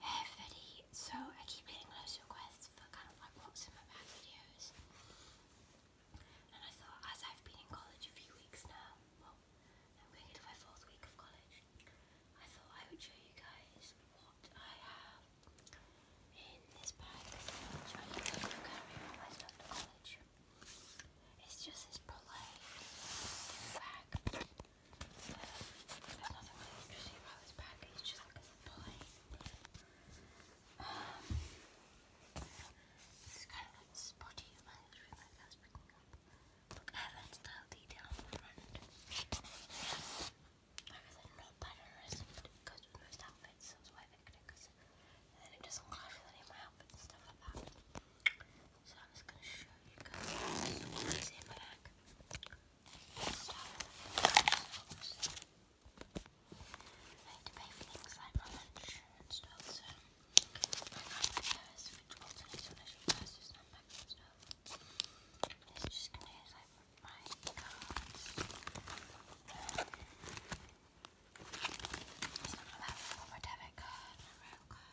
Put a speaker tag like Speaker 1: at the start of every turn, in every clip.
Speaker 1: Hey everybody, so I keep getting loads requests for kind of like what's in my bag videos. And I thought as I've been in college a few weeks now, I'm going into my fourth week of college, I thought I would show you guys what I have in this bag It's just this Prolay bag there's this just like a plain is kind of like spotty, you might just realize picking up. Look, I have detail on the front. I goes with most outfits, so that's why I picked it, because then it doesn't clash with any of my outfits and stuff like that. So I'm just going to show you guys what is in back. I to pay my lunch so I got the purse, which wasn't as much as purses and back and stuff. It's just going to use like my cards. Some of that for my debit card, my rail card.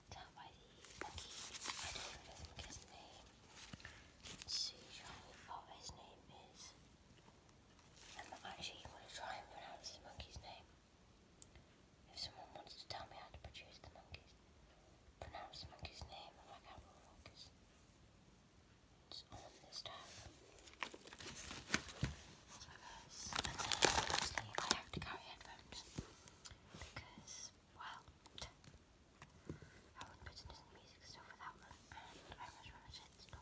Speaker 1: down by the monkey. I don't remember the monkey's name. Sujong. Oh, his name is. I'm not to try and pronounce this monkey's name. If someone wants to tell me how to produce the monkey's, pronounce the monkey's name, I'm focus. It's on this tab. So guys, and I have to carry headphones because well, I would put in music stuff without them, I was rather it's not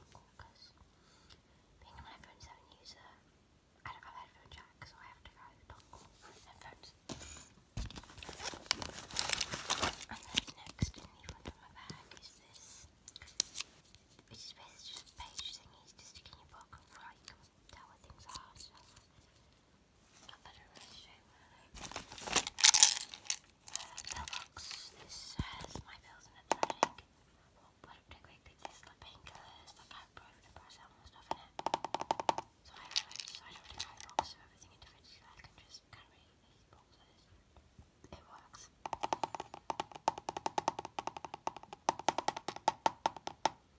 Speaker 1: being an iPhone 7 user, I don't have headphone jack, so I have to go dongle and then next in my bag is this, which is basically just page thingies to stick your book and write, tell where I you this has my pills in it that I think would have taken like painkillers, like ibuprofen and paracetamol and stuff in it. So I don't really buy a box of everything individually, I can just kind of boxes. It works.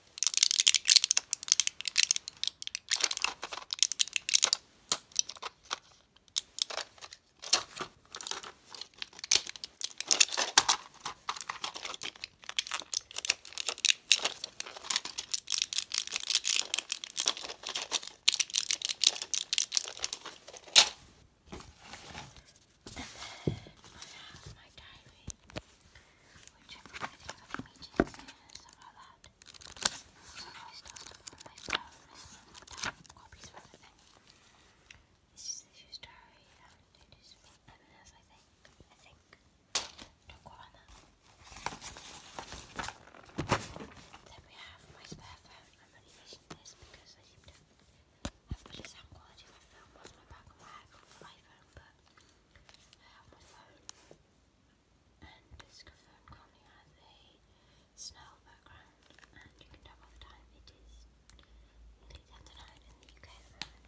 Speaker 1: And then I have my diary which I'm going to have meetings soon and stuff and it is bananas, I think. I think. Don't quote on that. Then we have my spare I'm only using this because I seem to have better sound quality if I film on my back on my iPhone, Hammerphone and discophone currently has a snow background and you can tell by the time it is nearly in the UK Next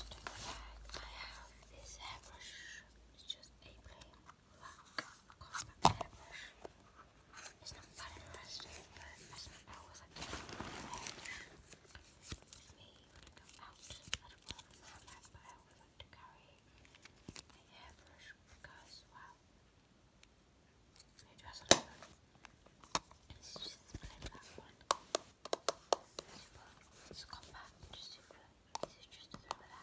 Speaker 1: I have this hairbrush. It's just a plain black compact hairbrush. It's not that interesting but I always like to have a hairbrush me when go out. I don't want a backpack, but I always to carry my hairbrush because, wow, I dress it It's just one. But it's just super easy just to throw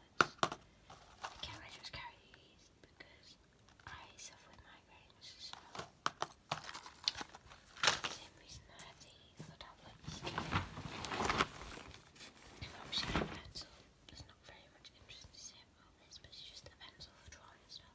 Speaker 1: tablets. Can I just carry these because I suffer with migraines, same reason I have these other tablets. Obviously, a pencil. There's not very much interest to say about this, but it's just a pencil for drawing stuff.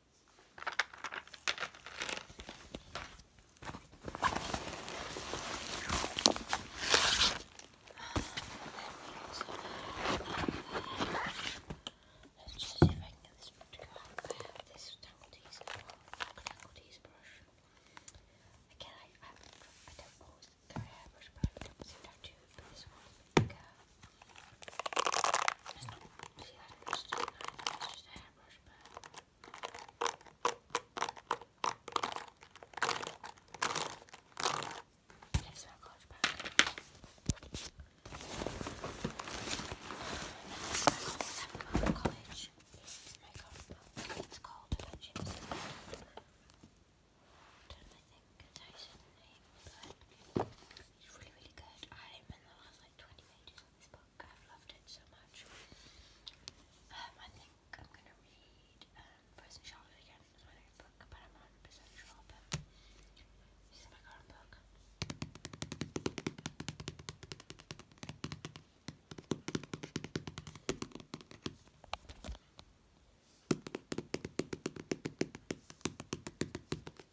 Speaker 1: Let's just see if I can get this one to go out. I have this Tangledies Tangledies brush. Again, I, I, I don't always carry a hairbrush, but I don't seem to have to. But this one, go. It's not, she had brush too, it's just a hairbrush, but... It's my college bag. I never college. This is my It's called Adventures. I do you it's really, really good. I'm in the last like 20 pages of this book. I've loved it so much. Um, I think I'm going to read um, Frozen again as my next book, but I'm 100% sure. this is my current book.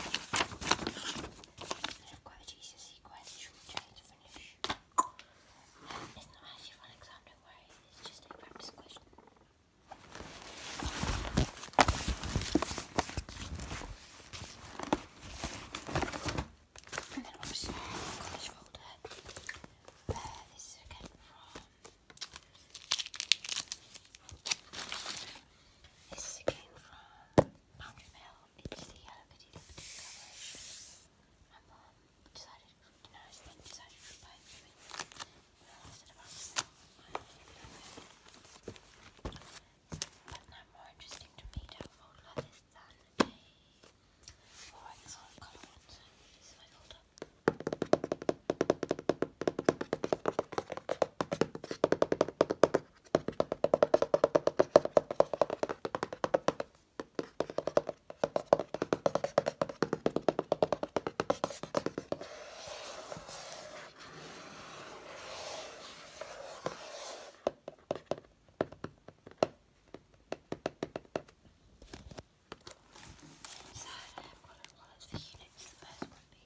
Speaker 1: I've a Jesus sequence, short finish. it's not actually one exam, do it's just a practice question. And then obviously the college folder. Uh, this is again from this is again from 100ml, it's the Hello Kitty lipstick coverage. decided, you know, I decided to buy I lasted about a But now more interesting to me to have old than a more like this sort of my folder. So, what was the units? The first one, the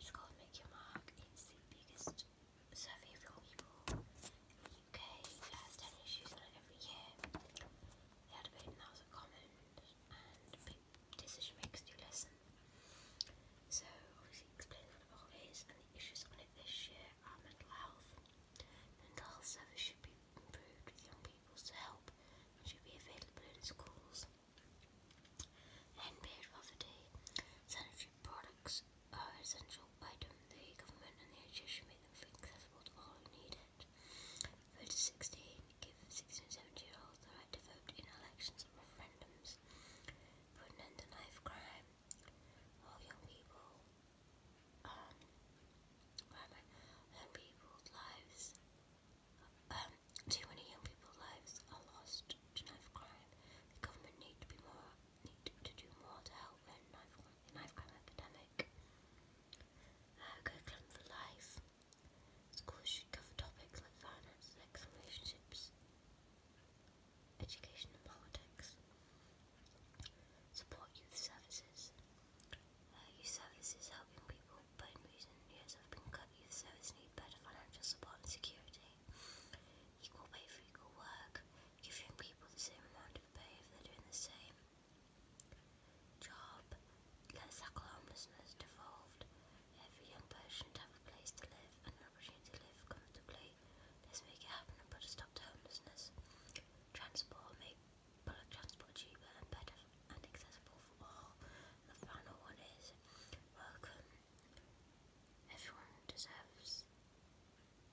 Speaker 1: It's called Make Your Mark. It's the biggest survey of young people in the UK. It has 10 issues on it every year. They had about 1,000 comments and big decision makers do listen. So, obviously, explain what it all is, and the issues on it this year are mental health. Mental health service should be improved with young people to help and should be available in schools. And paid for Sanitary products are essential item. The government and the NHS should make them accessible to all who need it. Vote 16. Give 16 and 17 year olds the right to vote in elections and referendums. Put an end to knife crime. All young people. Um, where am I? Young people's lives. Um, too many young people's lives are lost to knife crime. The government need to be more need to do more to help end knife crime epidemic. Uh, go for life. Schools should cover topics like finance, sex, relationships, education, and politics. Support youth services. youth services helping people but in recent years have been cut youth service need better financial support and security. Equal pay for equal work, give young people the same amount of pay if they're doing the same job. Let's tackle homelessness devolved. Every young person should have a place to live and an opportunity to live comfortably. Let's make it happen and put a stop to homelessness. Transport, make public transport cheaper and better and accessible for all. The final one is welcome. Everyone deserves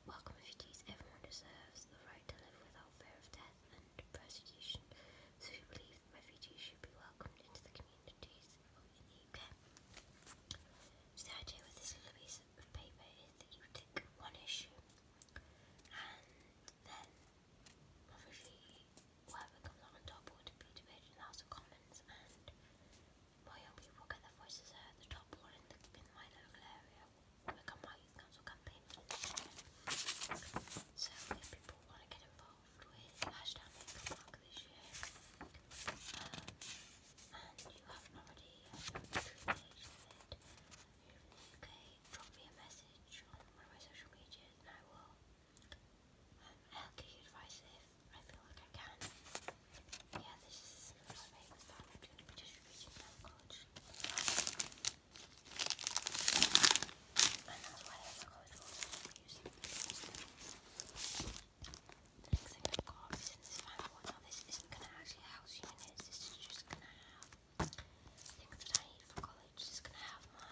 Speaker 1: welcome refugees. Everyone deserves the right to live without fear of death and persecution. So we believe refugees should be welcomed into the communities in the UK. the idea with this little piece of paper is that you tick one issue and then obviously whoever comes out on top would be debated in the House of Commons and my young people get their voices heard. The top one in, my local area will my council campaign for So if people want to get involved hashtag Mark this um, and you haven't already um, it, you in the UK, drop me a message on one of my social medias and I will um, I'll give you advice if I feel like I can. Yeah, this is my favourite fan. I'm going to be just reading college. And that's why I love my college rules. The next thing I've got is in this fan one. this isn't going to actually house units, this is just going to have things that I need for college. This going to have my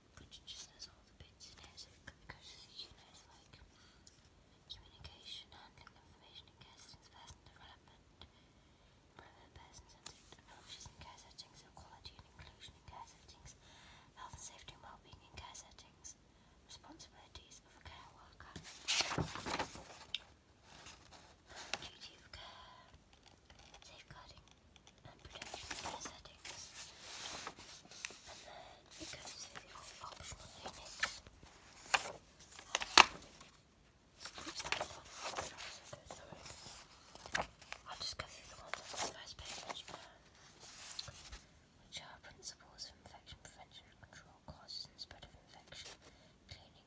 Speaker 1: but just has all the bits in it, so you know, like communication, handling information in care settings, person development, person-centered approaches in care settings, equality and inclusion in care settings, health and safety and well-being in care settings, responsibilities of a care worker, duty of care, safeguarding and protection I'll just go through the first page. which are principles of infection prevention and control, causes and spread of infection, cleaning,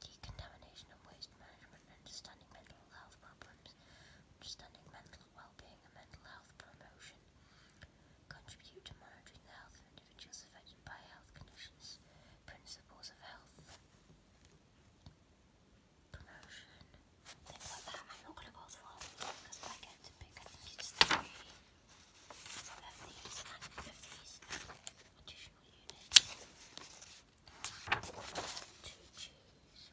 Speaker 1: decontamination and waste management, understanding mental mental health understanding mental well-being and mental health promotion, contribute to monitoring the health of individuals affected by health conditions, principles of health promotion, things like that. I'm not going to go through all of them because I get to pick, I think it's three of these of these additional units to choose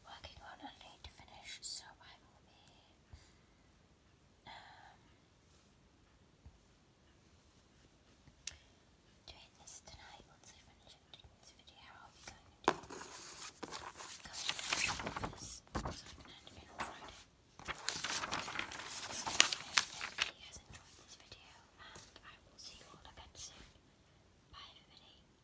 Speaker 1: working on a late finish, so I will be um, doing this tonight. Once I finish doing this video, I'll be going into going into this so I can end it on Friday. I hope you guys enjoyed this video, and I will see you all again soon. Bye, everybody.